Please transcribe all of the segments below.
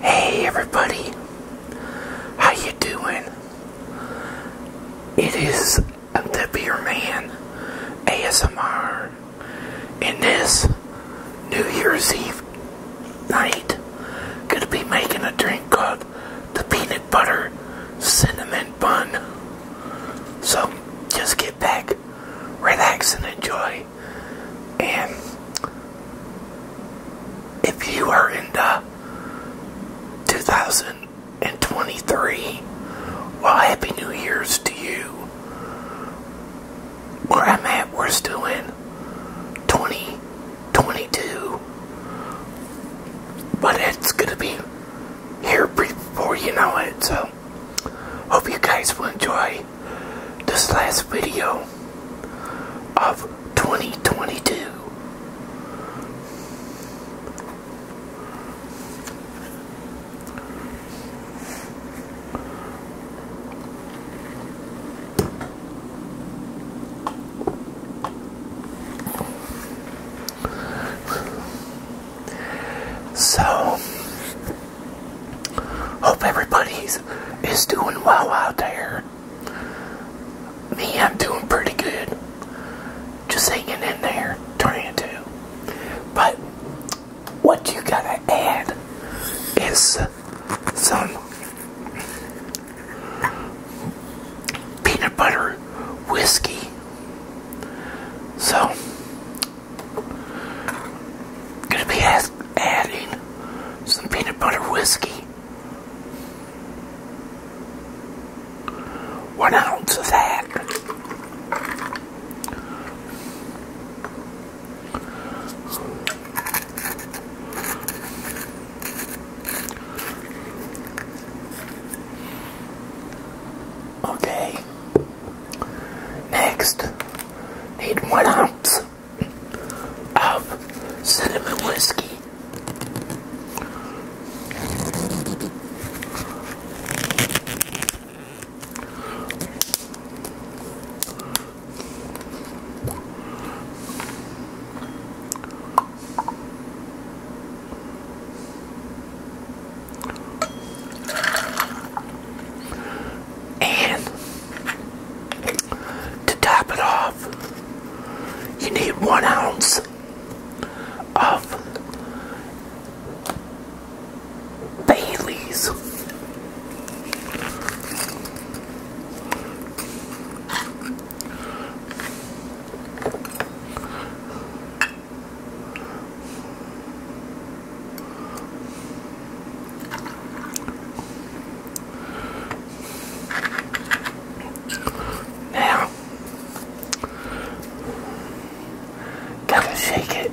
Hey everybody, how you doing? It is the Beer Man ASMR, and this New Year's Eve night, gonna be making a drink called the Peanut Butter Cinnamon Bun. So just get back, relax, and enjoy. And if you are into 2023, well, Happy New Year's to you. Where I'm at, we're still in 2022. But it's going to be here before you know it, so Hope you guys will enjoy this last video of 2022. So, Hope everybody's is doing well out there. Me, I'm doing pretty good. Just hanging in there, trying to. But what you gotta add is some peanut butter whiskey. So Gonna be adding some peanut butter whiskey. One ounce of that. Okay. Next, need one ounce of cinnamon whiskey. And to top it off, you need one ounce of Bailey's. Now, gotta shake it.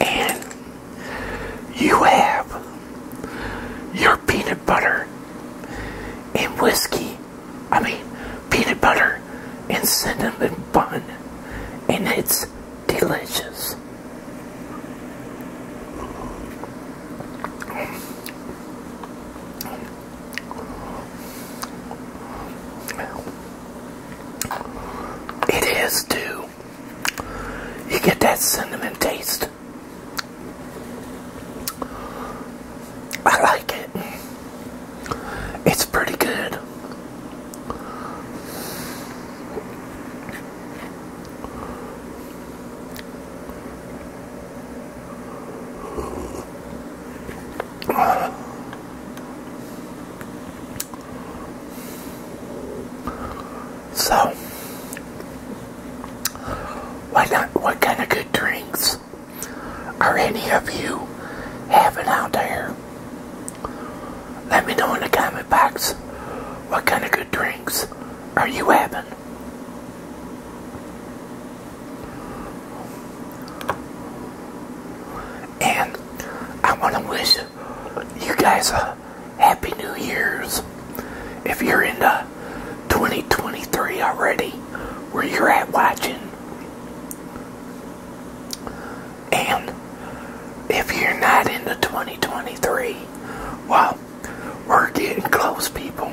And you have your peanut butter and whiskey. I mean, peanut butter and cinnamon bun. And it's delicious. It is too. You get that cinnamon taste. I like it. It's pretty good. So, what, what kind of good drinks are any of you having out there? Let me know in the comment box what kind of good drinks are you having. And I want to wish you guys a Happy New Year's. If you're into 2023 already, where you're at watching. And if you're not into 2023, well we're getting close, people.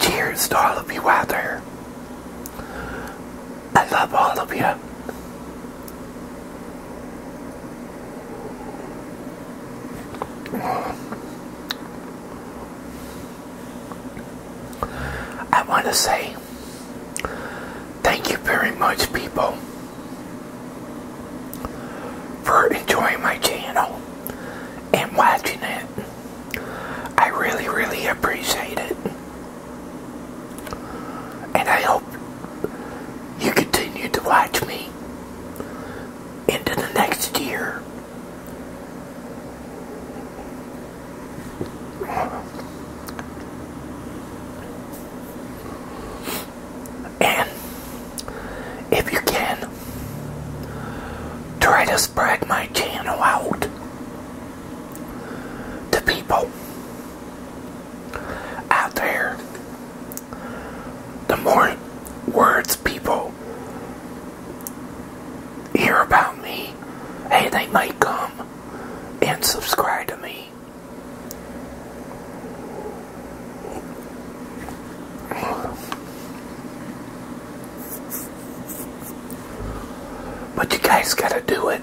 Cheers to all of you out there. I love all of you. I want to say thank you very much, people, for enjoying my channel and watching it. I really, really appreciate it. And I hope you continue to watch me into the next year. And if you can, try to spread my channel out to people out there. The more words people hear about me, hey, they might come and subscribe to me. But you guys gotta do it.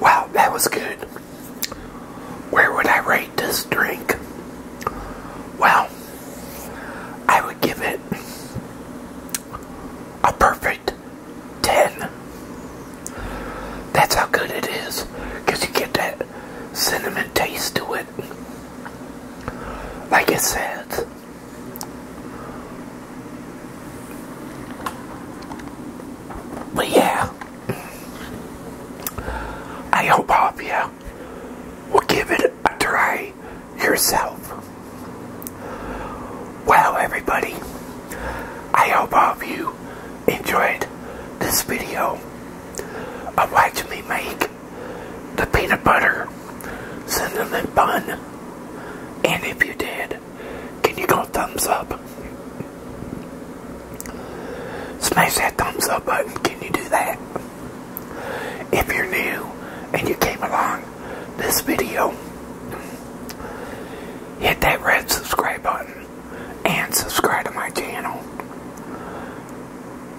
Wow, that was good. Where would I rate this drink? Well, I would give it a perfect 10. That's how good it is, because you get that cinnamon taste to it. Like it says, but yeah, I hope all of you will give it a try yourself. Well, everybody, I hope all of you enjoyed this video of watching me make the peanut butter cinnamon bun. And if you did, can you go thumbs up? Smash that thumbs up button. Can you do that? If you're new and you came along this video, hit that red subscribe button and subscribe to my channel.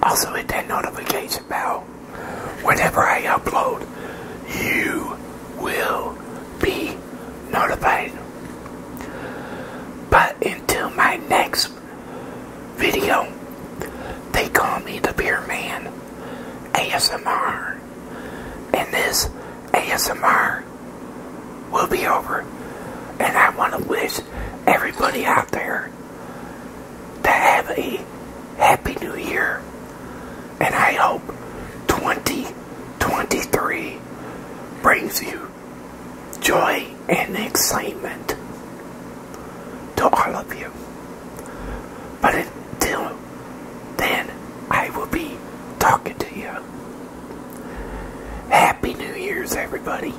Also hit that notification bell. Whenever I upload, you will be notified. But until my next video, they call me the Beer Man ASMR. And this ASMR will be over. And I want to wish everybody out there to have a Happy New Year and I hope 2023 brings you joy and excitement to all of you. But until then, I will be talking to you. Happy New Year's, everybody.